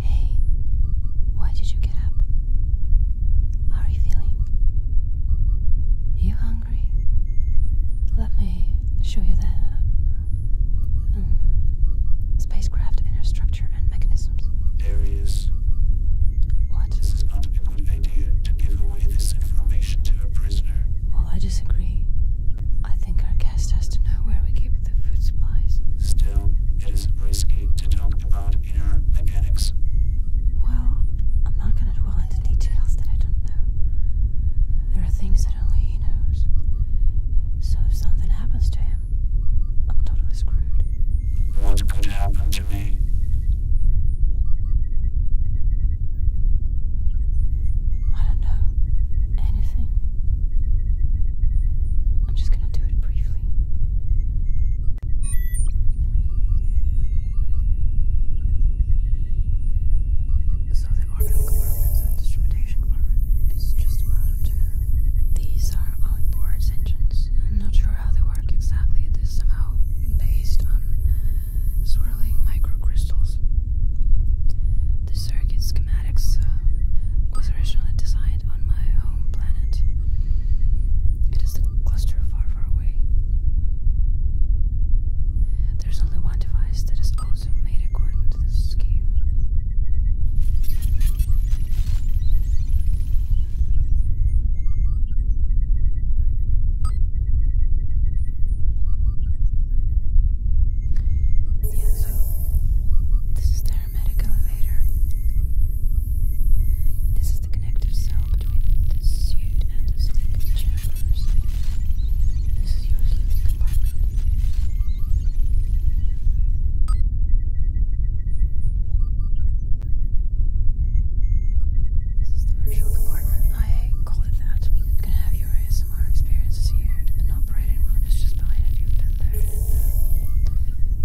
Hey, why did you get up? How are you feeling? you hungry? Let me show you the um, spacecraft inner structure structure What? This is not a good idea to give away this information to a prisoner. Well, I disagree. I think our guest has to know where we keep the food supplies. Still, it is risky to talk about inner mechanics. Well, I'm not going to dwell into details that I don't know. There are things that only he knows. So if something happens to him, I'm totally screwed. I don't know. Anything. I'm just going to do it briefly. So the orbital compartment and instrumentation compartment is just about uh, These are outboard engines. I'm not sure how they work exactly. It is somehow based on swirling microcrystals. The circuit schematics uh, was originally designed on my home planet. It is the cluster far, far away. There's only one device that is also made according to this scheme. Yes, this is the hermetic elevator. This is the connective cell between the suit and the sleeping chambers. This is your sleeping compartment. This is the virtual compartment. I call it that. gonna have your ASMR experiences here. An operating room is just behind if you've been there.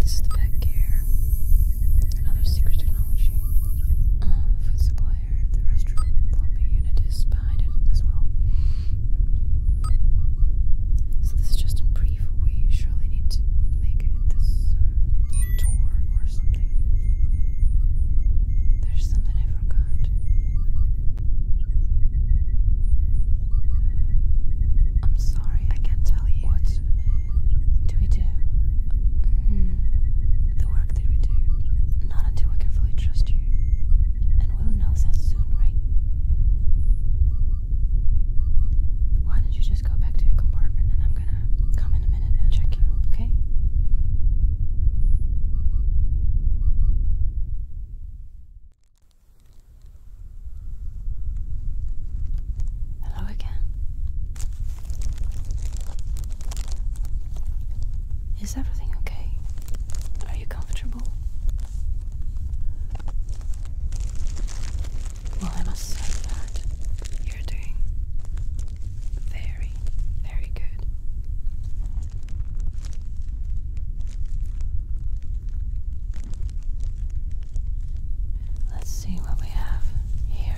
this is the pet gear. Another secret technology. food supplier. The restroom plumbing unit is behind it as well. So this is just improved brief. We surely need to make it this uh, tour or something. There's something I forgot. I'm sorry, I can't tell you. What do we do? Hmm. The work that we do. Not until we can fully trust you. And we'll know soon, right? Why don't you just go back to your compartment and I'm gonna come in a minute and check you, okay? Hello again. Is everything okay? Are you comfortable? Well, I must say that you're doing very, very good. Let's see what we have here.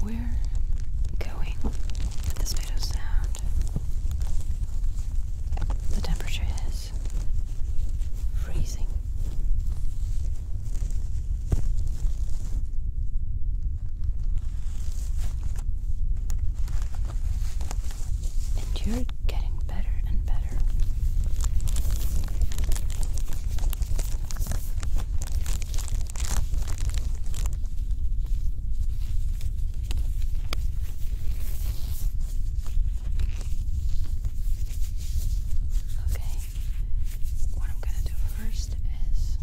We're going the speed sound, the temperature is freezing. And you're getting better and better. Okay, what I'm going to do first is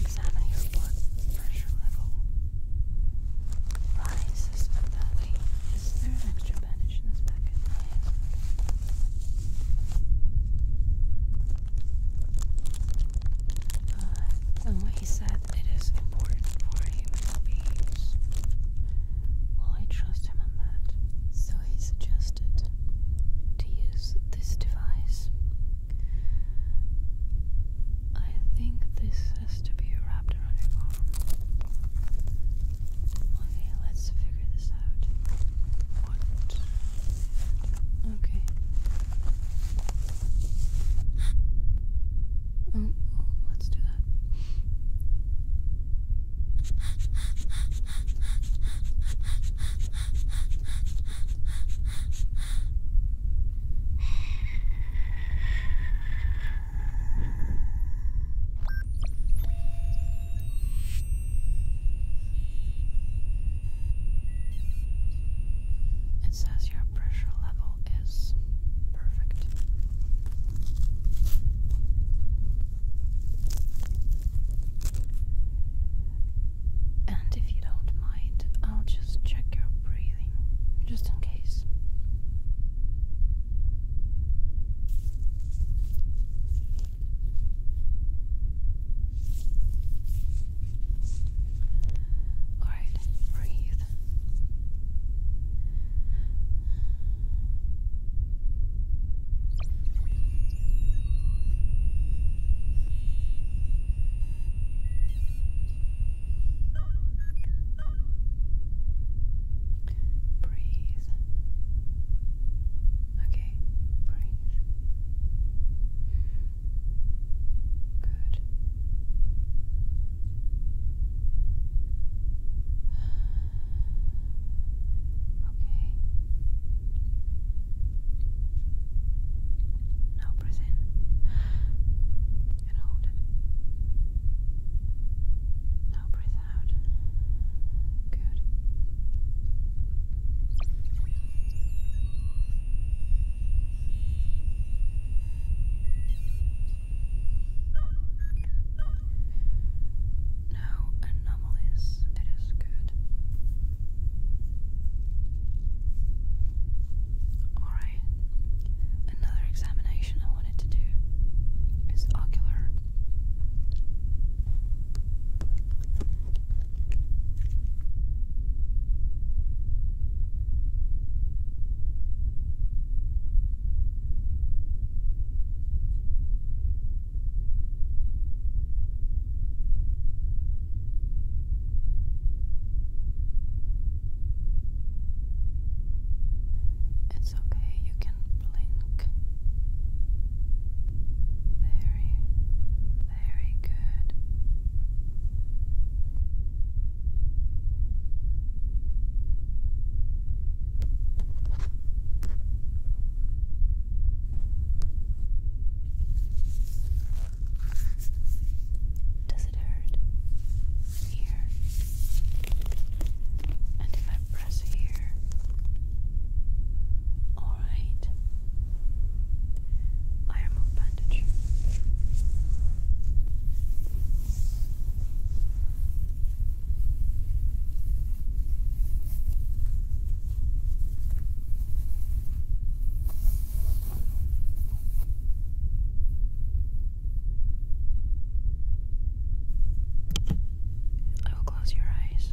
examine your blood pressure level. Rises at that weight. Is there an extra bandage in this packet? Uh, he said, it is important for human beings. Well, I trust him on that. So he suggested to use this device. I think this has to be wrapped around your arm. Okay, let's figure this out. What Okay. Oh, oh, let's do that. It says your pressure level is perfect. And if you don't mind, I'll just check your breathing, just in case. All right, breathe. Breathe okay? Breathe. Good. Okay. Now press in and hold it. Now breathe out. Good. No anomalies. It is good. Alright. Another examination I wanted to do is ocular it's okay, you can blink. Very, very good. Does it hurt? Here press here. Alright. I remove bandage. I will close your eyes.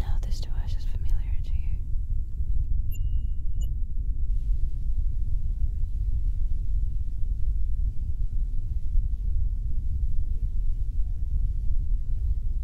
Now this device is familiar to you.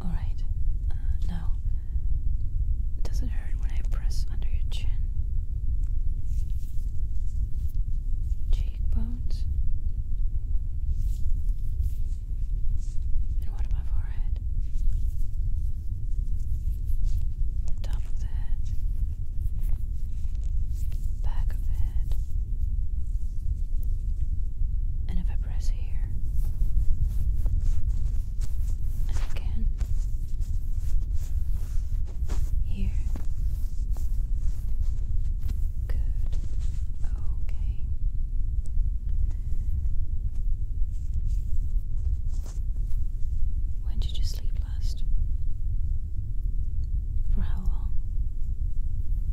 Alright, uh, does it hurt when I press under your chin? Cheekbones? And what about forehead? top of head? Back of head? And if I press here, and again, here, good, okay. When did you sleep last? For how long?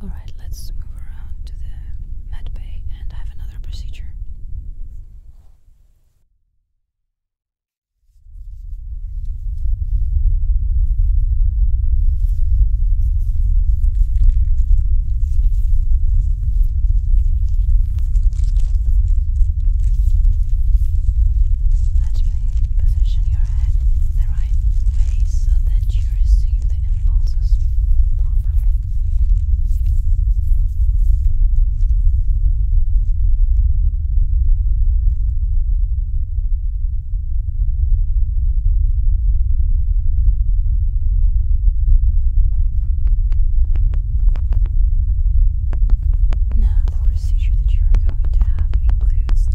All right, let's move around to the med bay and have another procedure. Let me position your head the right way so that you receive the impulses properly. Now, the procedure that you are going to have includes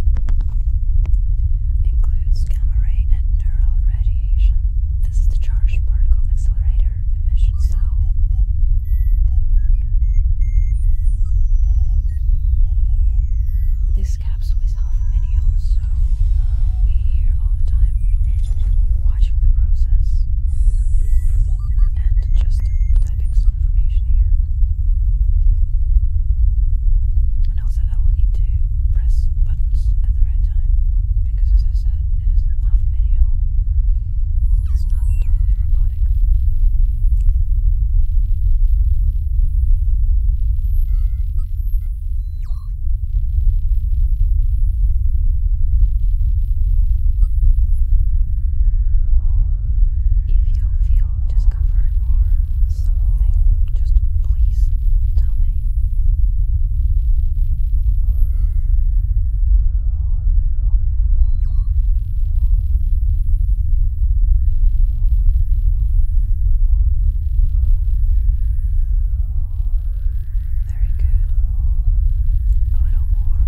includes gamma ray and neural radiation. This is the charged particle accelerator greater cell. This capsule is not a so I'll uh, here all the time watching the process and just typing some information here. And also, I will need to press buttons at the right time because, as I said, it is half manual, it's not totally robotic. If you feel discomfort or something, just please tell me. Very good. A little more.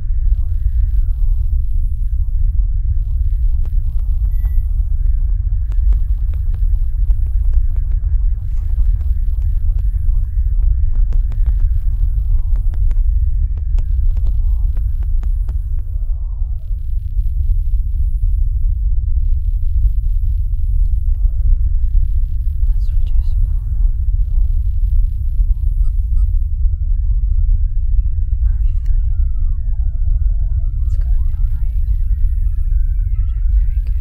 Let's reduce power. How are you feeling? It's going to be alright. You're doing very good.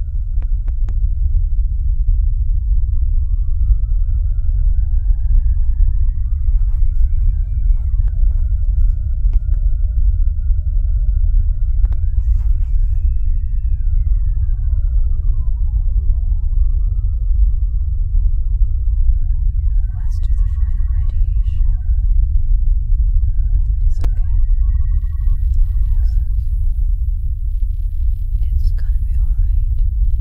Let's do the final radiation. It's okay. It's gonna be alright. It's okay.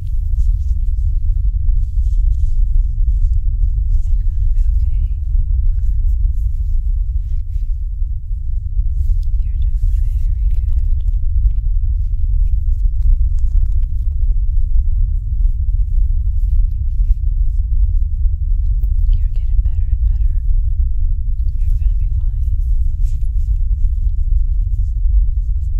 You're doing very good. You're getting better and better. You're going to be fine.